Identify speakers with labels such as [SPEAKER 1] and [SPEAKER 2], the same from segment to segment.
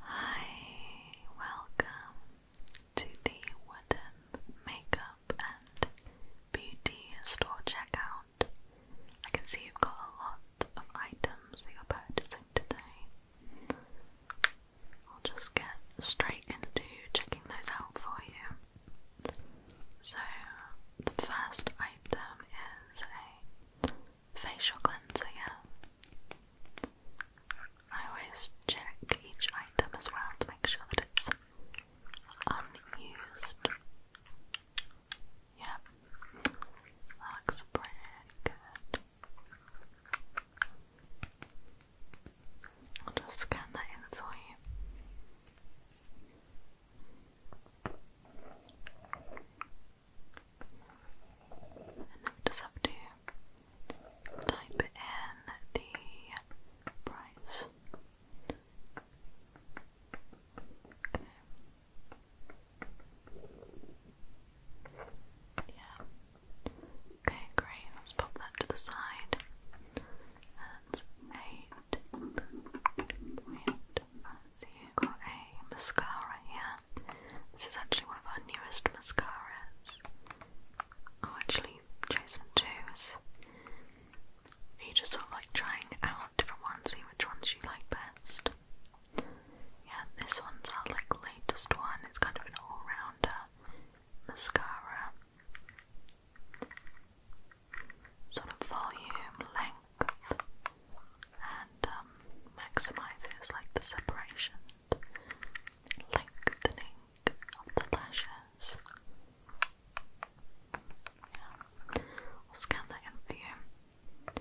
[SPEAKER 1] Hi, welcome to the Wooden Makeup and Beauty Store Checkout. I can see you've got a lot of items that you're purchasing today. I'll just get straight into checking those out for you. So, the first item is a facial cleanser, I always check each item as well to make sure that it's unused. Yeah, looks pretty good. I'll just scan that in for you. And then we just have to type in the price. Okay. Yeah. Okay, great. Let's pop that to the side. That's eight point mascara here. This is actually one of our newest mascaras. Oh, actually, chosen two. Is just sort of like trying out different ones, see which ones you like best. Yeah, this one's our like latest one. It's kind of an all-rounder mascara. Sort of volume, length, and um, maximizes like the separation lengthening of the lashes. Yeah. We'll scan that in for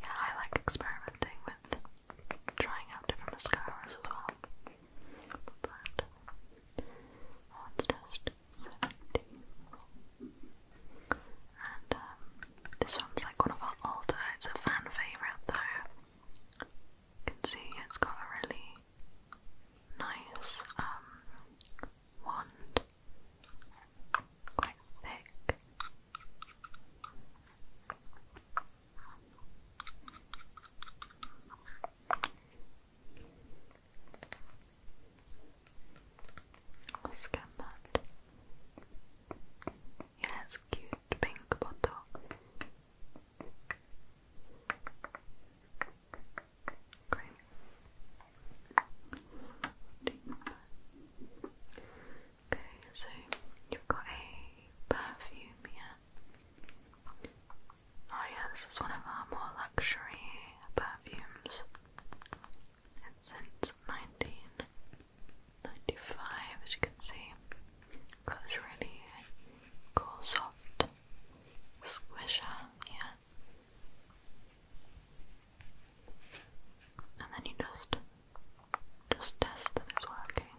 [SPEAKER 1] Yeah, I like experimenting with trying out different mascaras as well. But I just and um, this one's like one of our older, it's a fan favourite though. You can see it's got a really nice um, wand, quite thick. I'll scan that. It has cute pink bottle. Great. Okay, so you've got a perfume here. Oh yeah, this is one of our more luxury perfumes and since 1995, as you can see, goes really cool, soft squisher here, and then you just just test that it's working.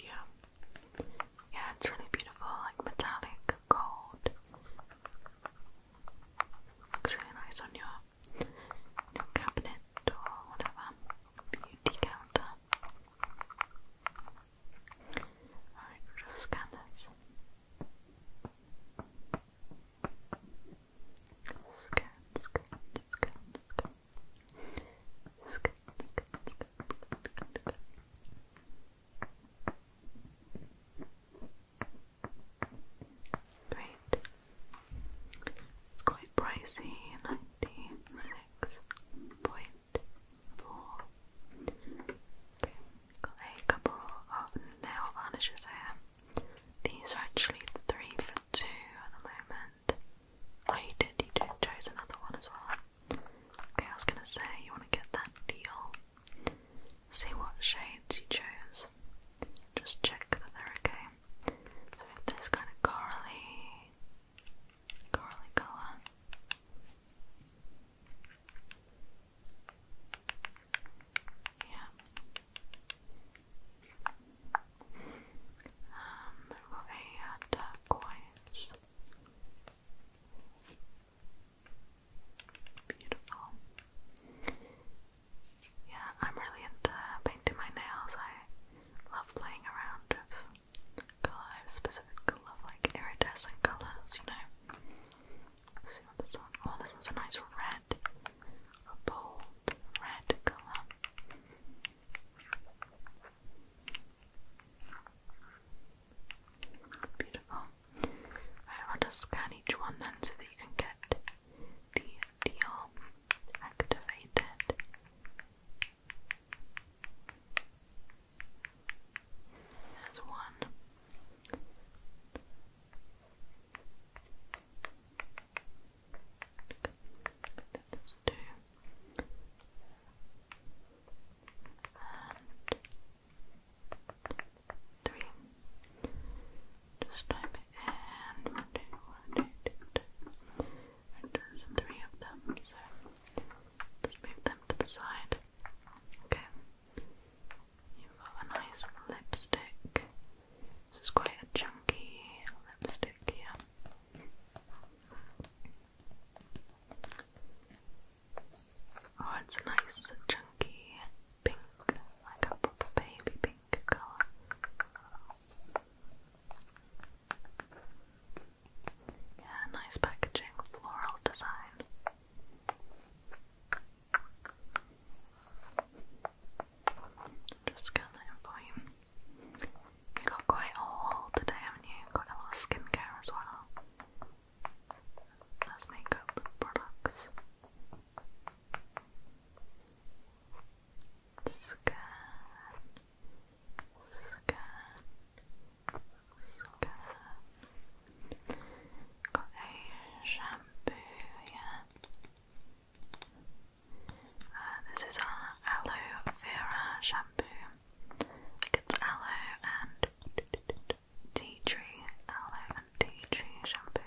[SPEAKER 1] Yeah, yeah, it's really beautiful, like metallic gold. Looks really nice on your, cabinet or whatever. Beauty counter. Alright, just scan this. scan, scan, scan. Scan, scan, scan. Great. It's quite pricey, ninety six point four. got a couple of nail varnishes here. These are actually three for two at the moment. I did you did chose another one as well. Okay, I was gonna say, you wanna get that deal. See what shades you chose. Just check that they're okay. So we have this kind of corally, corally colour. Yeah. Um, we've got uh, Beautiful. Yeah, I'm really into painting my nails. I love playing around with colour. specific love like iridescent colours, you know. see what this one. Oh, this one's a nice red, a bold red colour. Beautiful. I'll just scan each one then so that you can get the deal activated. There's one. There's two three. Just time in. One, two, one, two, two, two. of them, so just move them to the side. Okay. You've got a nice lipstick. This is quite a chunky lipstick here. Oh, it's a nice chunky pink, like a proper baby pink colour. Yeah, nice packaging, floral design. Just scan that for you. You got quite a today, haven't you? Got a lot of skincare as well. That's makeup products. Scan, scan, scan. Got a shampoo here. Uh, this is our aloe vera shampoo. Like it's aloe and tea tree, aloe and tea tree shampoo.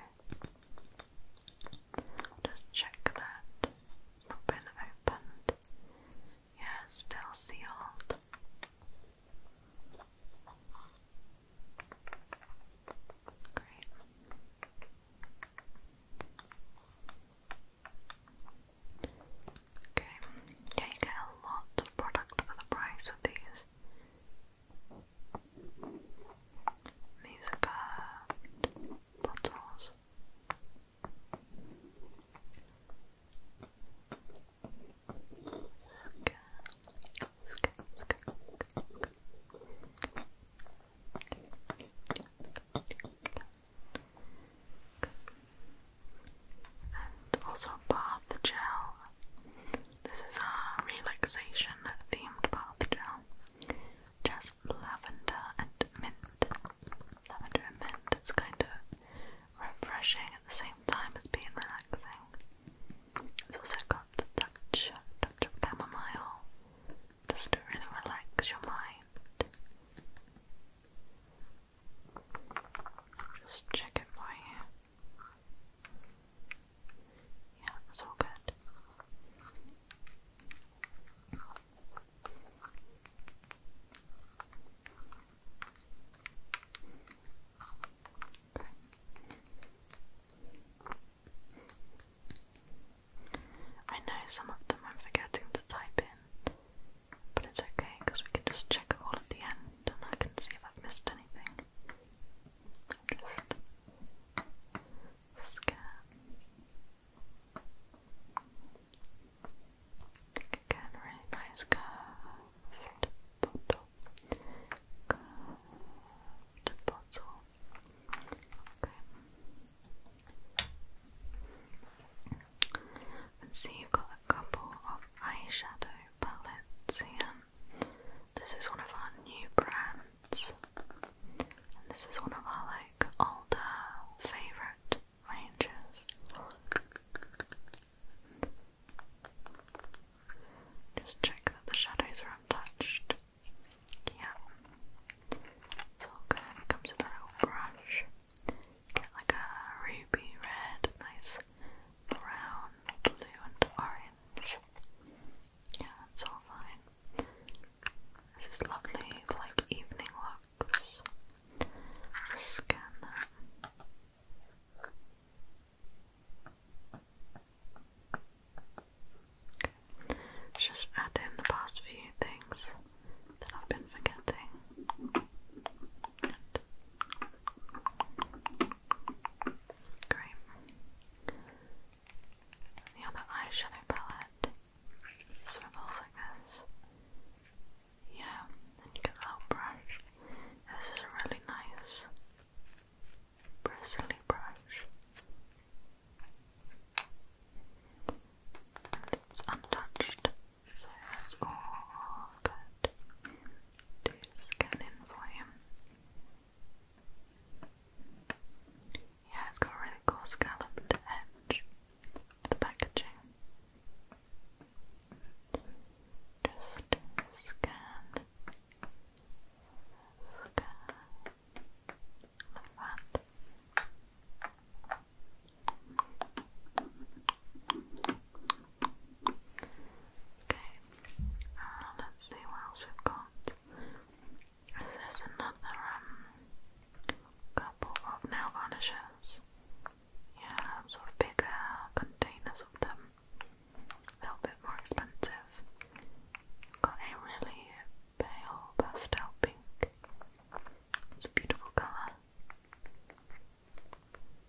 [SPEAKER 1] Just check that it's not been still sealed. Great. Okay, yeah, you get a lot of product for the price with these. These are curved bottles. And also bath gel. This is a relaxation themed bath gel. Just lavender and mint. Lavender and mint. It's kind of refreshing at the same time as being relaxing. It's also got the touch, touch of chamomile, just to really relax your mind. Just check it for you. Yeah, it's good. I know some of them I'm forgetting to type in but it's okay because we can just check it all at the end and I can see if I've missed anything. I'll Again, really nice curved bottle. bottle. Okay let see, you've got a couple of eyeshadow palettes here. This is one of our new brands, this is one of our like older favorite ranges. Just check that the shadows are untouched. Yeah, it's all good. comes with a little brush like a ruby red, nice brown, blue, and orange. Yeah, that's all fine. This is lovely for like evening looks. Scan Just add in the past few things that I've been forgetting. Good. The other eyeshadow palette swivels like this. Yeah, and the little brush. this is a really nice bristly brush. it's untouched. So that's all good to scan in for Yeah, it's got a really cool scalloped edge. The packaging. Just scan. Scan. Like that. Okay, uh, let's see what else we've got. Is this another um, couple of nail varnishes? Yeah, sort of bigger containers of them. A little bit more expensive. Got a really pale pastel pink. It's a beautiful colour.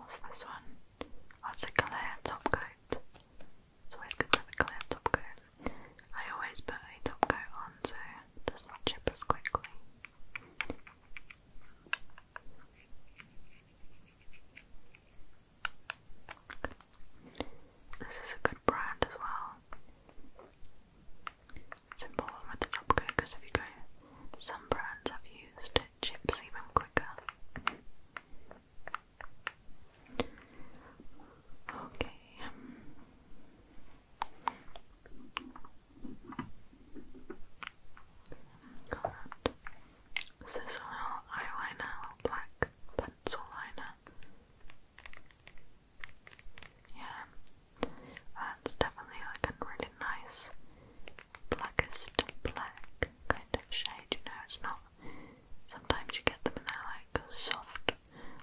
[SPEAKER 1] what's this one? it's a clear top coat. It's always good to have a clear top coat. I always put a top coat on so it chip as quickly. This is a good brand as well. It's important the top coat because if you go, some brands have used chips even quicker. Okay. Um, got this is a little eyeliner, black pencil liner. Yeah, that's uh, definitely like a really nice blackest black kind of shade. You know, it's not. Sometimes you get them in they like soft,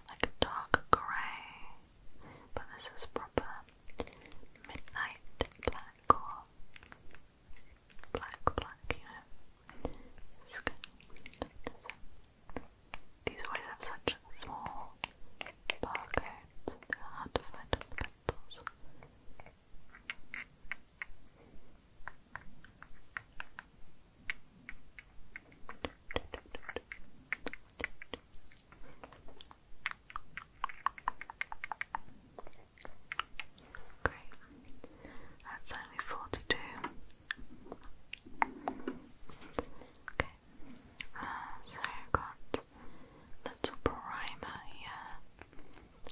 [SPEAKER 1] like a dark grey, but this is proper midnight black or black, black, you know. It's good. These always have such small pockets. they to find candles. Great. That's only forty two. Okay, Okay. Uh, so i got little primer here.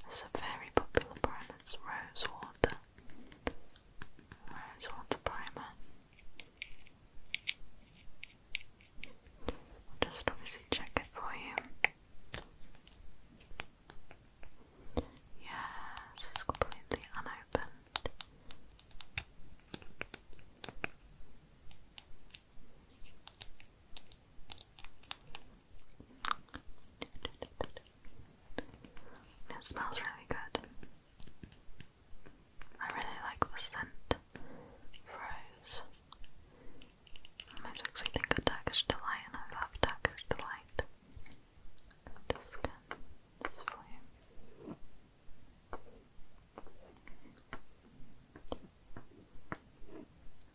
[SPEAKER 1] It's a very popular primer. It's rose water. primer. just obviously check it for you. Yes, it's completely unopened that. It smells really good. I really like the scent. Froze. makes me think of Turkish Delight, and I love Turkish Delight. Just scan this for you.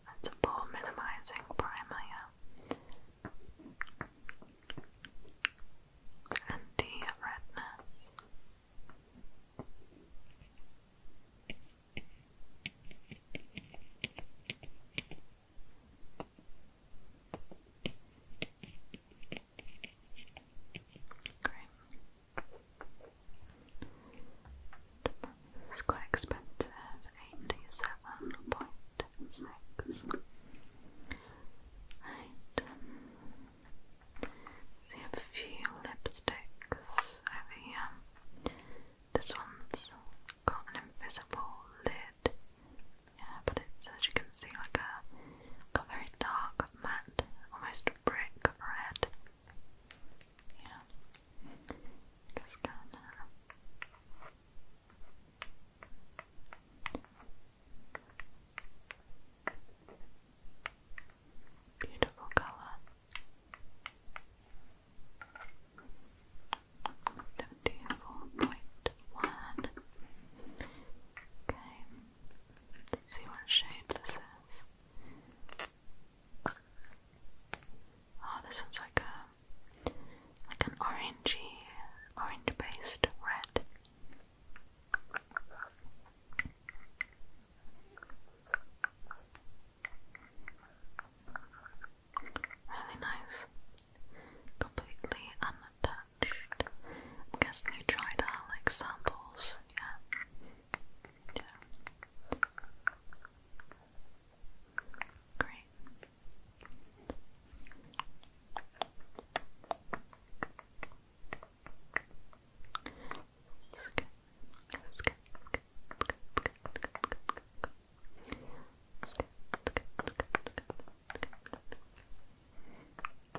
[SPEAKER 1] That's a poor minimizing primer, yeah. And the redness. It's quite expensive, eighty-seven point six. Right. a few lipsticks over here. This one's got an invisible lid. Yeah, but it's as you can see like a, like very dark matte, almost brick red. Yeah. Just go in Beautiful colour. Seventy four point one. Okay see what shade this is. Oh, this one's like a like an orangey, orange-based red. Really nice. Completely untouched. I'm guessing you tried out like samples, yeah. Yeah. Great. That's good. good. Good. Good. Good. Good. Good. Good. Good. Good. Good. Good. Good. Good. Good. Good. Good. And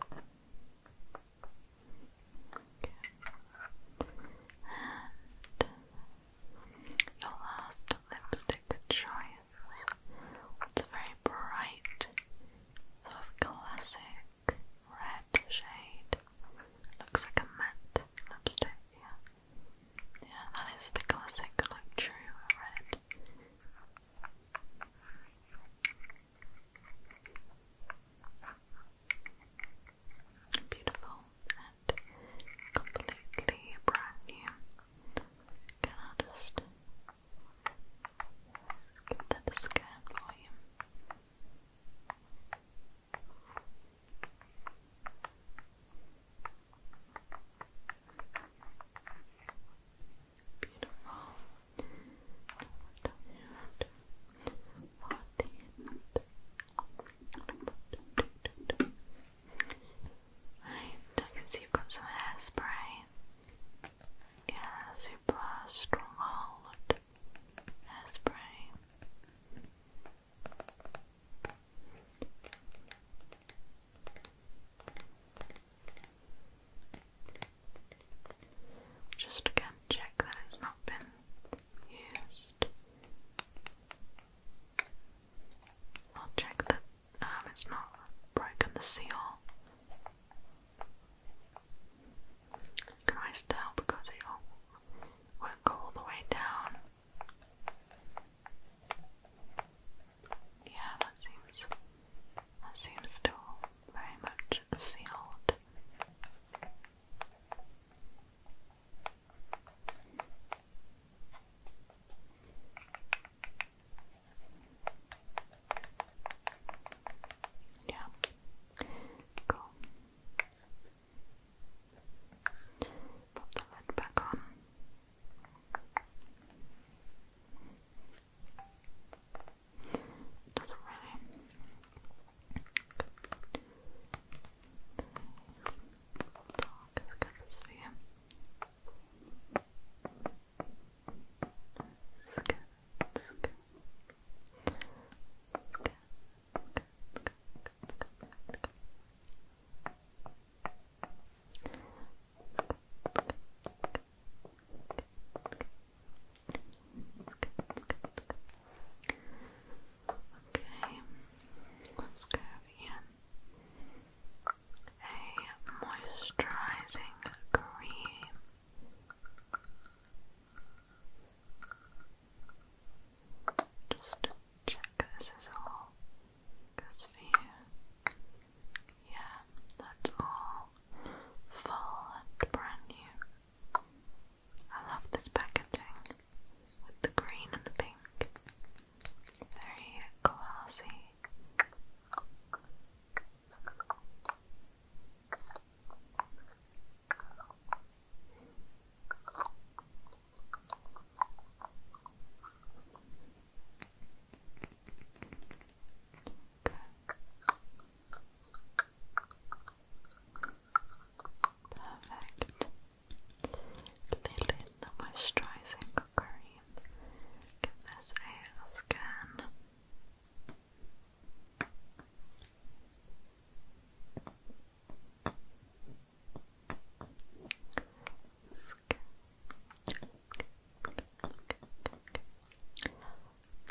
[SPEAKER 1] your last lipstick choice. It's a very bright, sort of classic red shade. Looks like a matte lipstick, yeah. Yeah, that is the classic, like red. Beautiful and completely brand Can I just give that a scan you? Beautiful. Right, I can see you've got some hairspray. Yeah, super stronghold hairspray. Just again check that it's not been used. I'll check that um, it's not broken the seal. You can always tell because it won't go all the way down. Yeah, that seems that seems still very much sealed. Yeah. Cool. Put the lid back on. It doesn't really. Okay. this for you. Let's get, let's get. Let's get, let's get, Okay, let's go over A moisturizing cream. Just check this is all goes for you. Yeah, that's all full and brand new. I love this packaging with the green and the pink. Very classy. Perfect. Lilin moisturizing cream. Give this a scan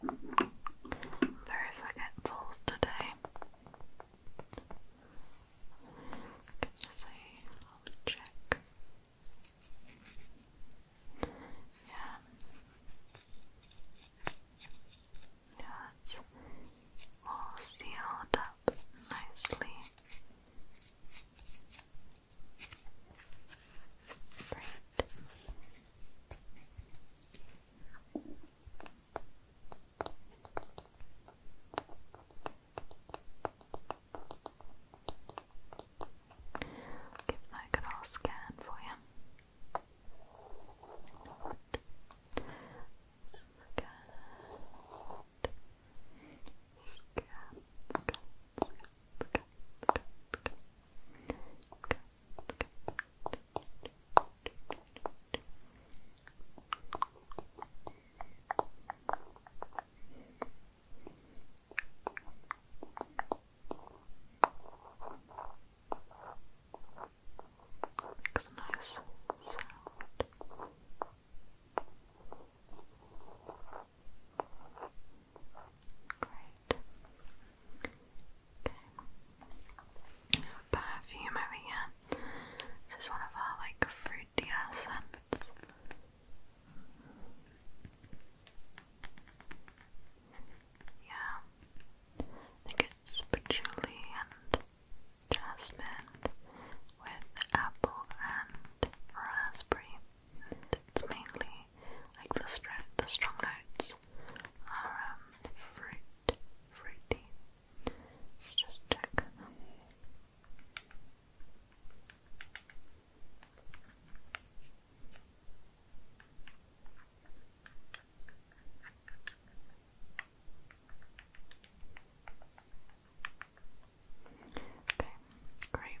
[SPEAKER 1] Very forgetful today. Can you see? I'll check. Yeah. Yeah, it's all sealed up nicely. Great. Give that a good scan for you. Good. Good. Scan. Good. Good. Good. Good. Good. Good. Good. Makes a nice Great. Perfume over here. This is one of our like fruitier scents. Yeah. I think it's patchouli and jasmine with apple and raspberry. It's mainly like the, strong, the strong notes are um, fruit, fruity. Let's just check Okay, great.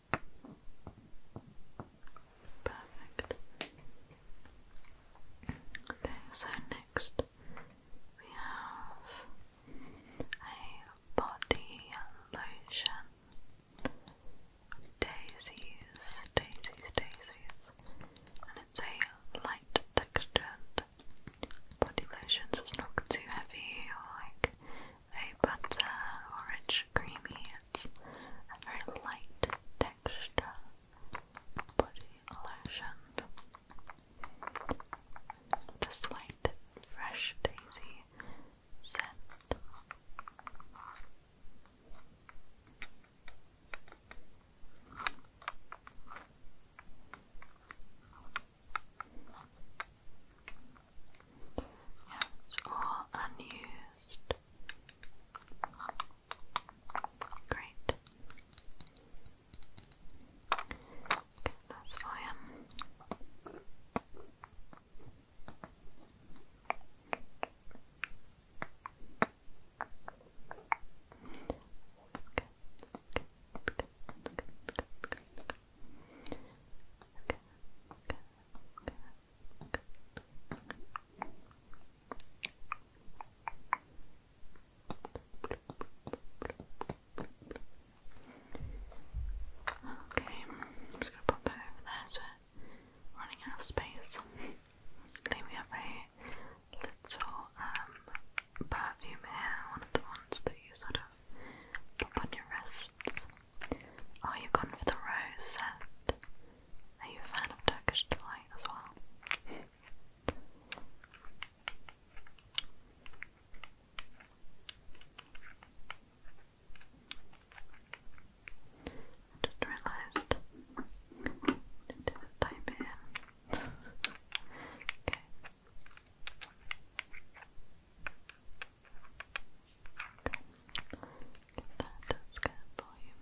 [SPEAKER 1] Perfect. Okay, so next we have a body lotion. Daisies, daisies, daisies. And it's a light textured body lotion, so it's not too heavy or like a butter or rich creamy it's a very light texture body lotion. The slight fresh daisy scent. it's all unused Great. Get this for Okay. Okay. Okay. Okay. Okay. Okay. Okay. Okay, I'm just gonna pop it over there as we're running out of space. Basically, we have a little um, perfume here, one of the ones that you sort of pop on your wrists. Oh, you gone for the rose set? Are you a fan of Turkish delight as well? just realised didn't type it in. okay. Get that scan for you.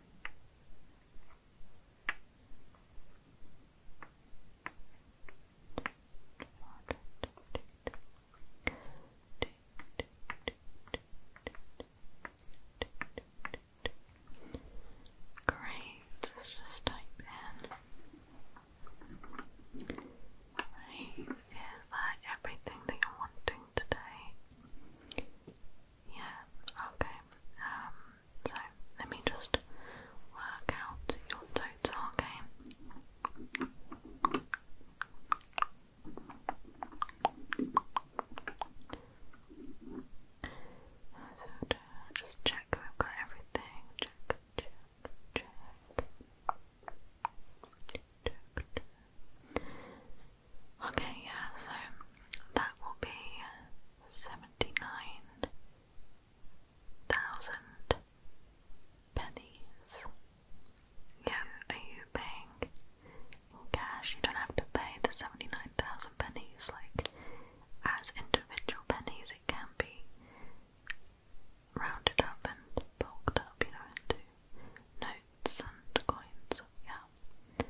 [SPEAKER 1] Great, just type in. is that everything that you're wanting? today. Yeah, okay. Um, so let me just work out your total, okay? So just check we've got everything. check, check. Check, check. Okay, yeah, so that will be seventy nine thousand pennies. Yeah, are you paying in cash? You don't have to pay the seventy nine thousand pennies like as individual pennies, it can be rounded up and bulked up, you know, into notes coins, yeah.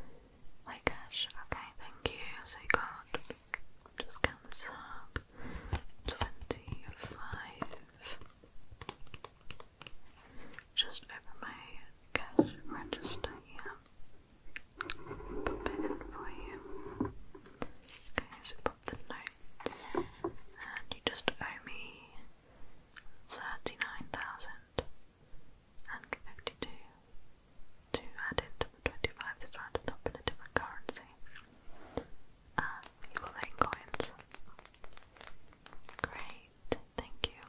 [SPEAKER 1] Like cash, okay, thank you. So you got, just count up, 25. Just open my cash register here. Pop it in for you. Okay, so pop the notes, and you just owe me thirty-nine thousand and 52. 2 added to the 25 is rounded up in a different currency. And you got eight coins. Great, thank you.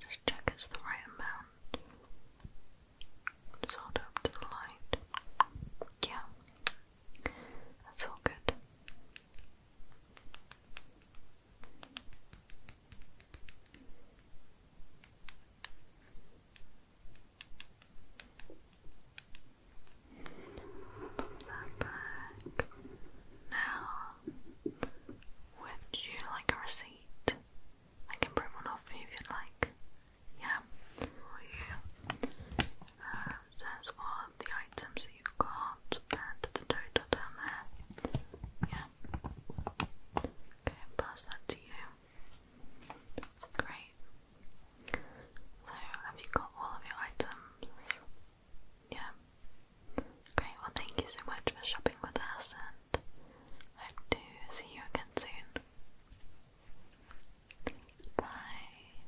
[SPEAKER 1] Just check it's the right amount. Just up to the light. Yeah, that's all good. That Now, would you like a receipt? I can print one off if you like. Yeah, for uh, says what the items that you got and the total down there. Yeah. Okay, pass that to you. Great. So, have you got all of your items? Yeah. Great, well, thank you so much for shopping with us, and hope to see you again soon. Bye.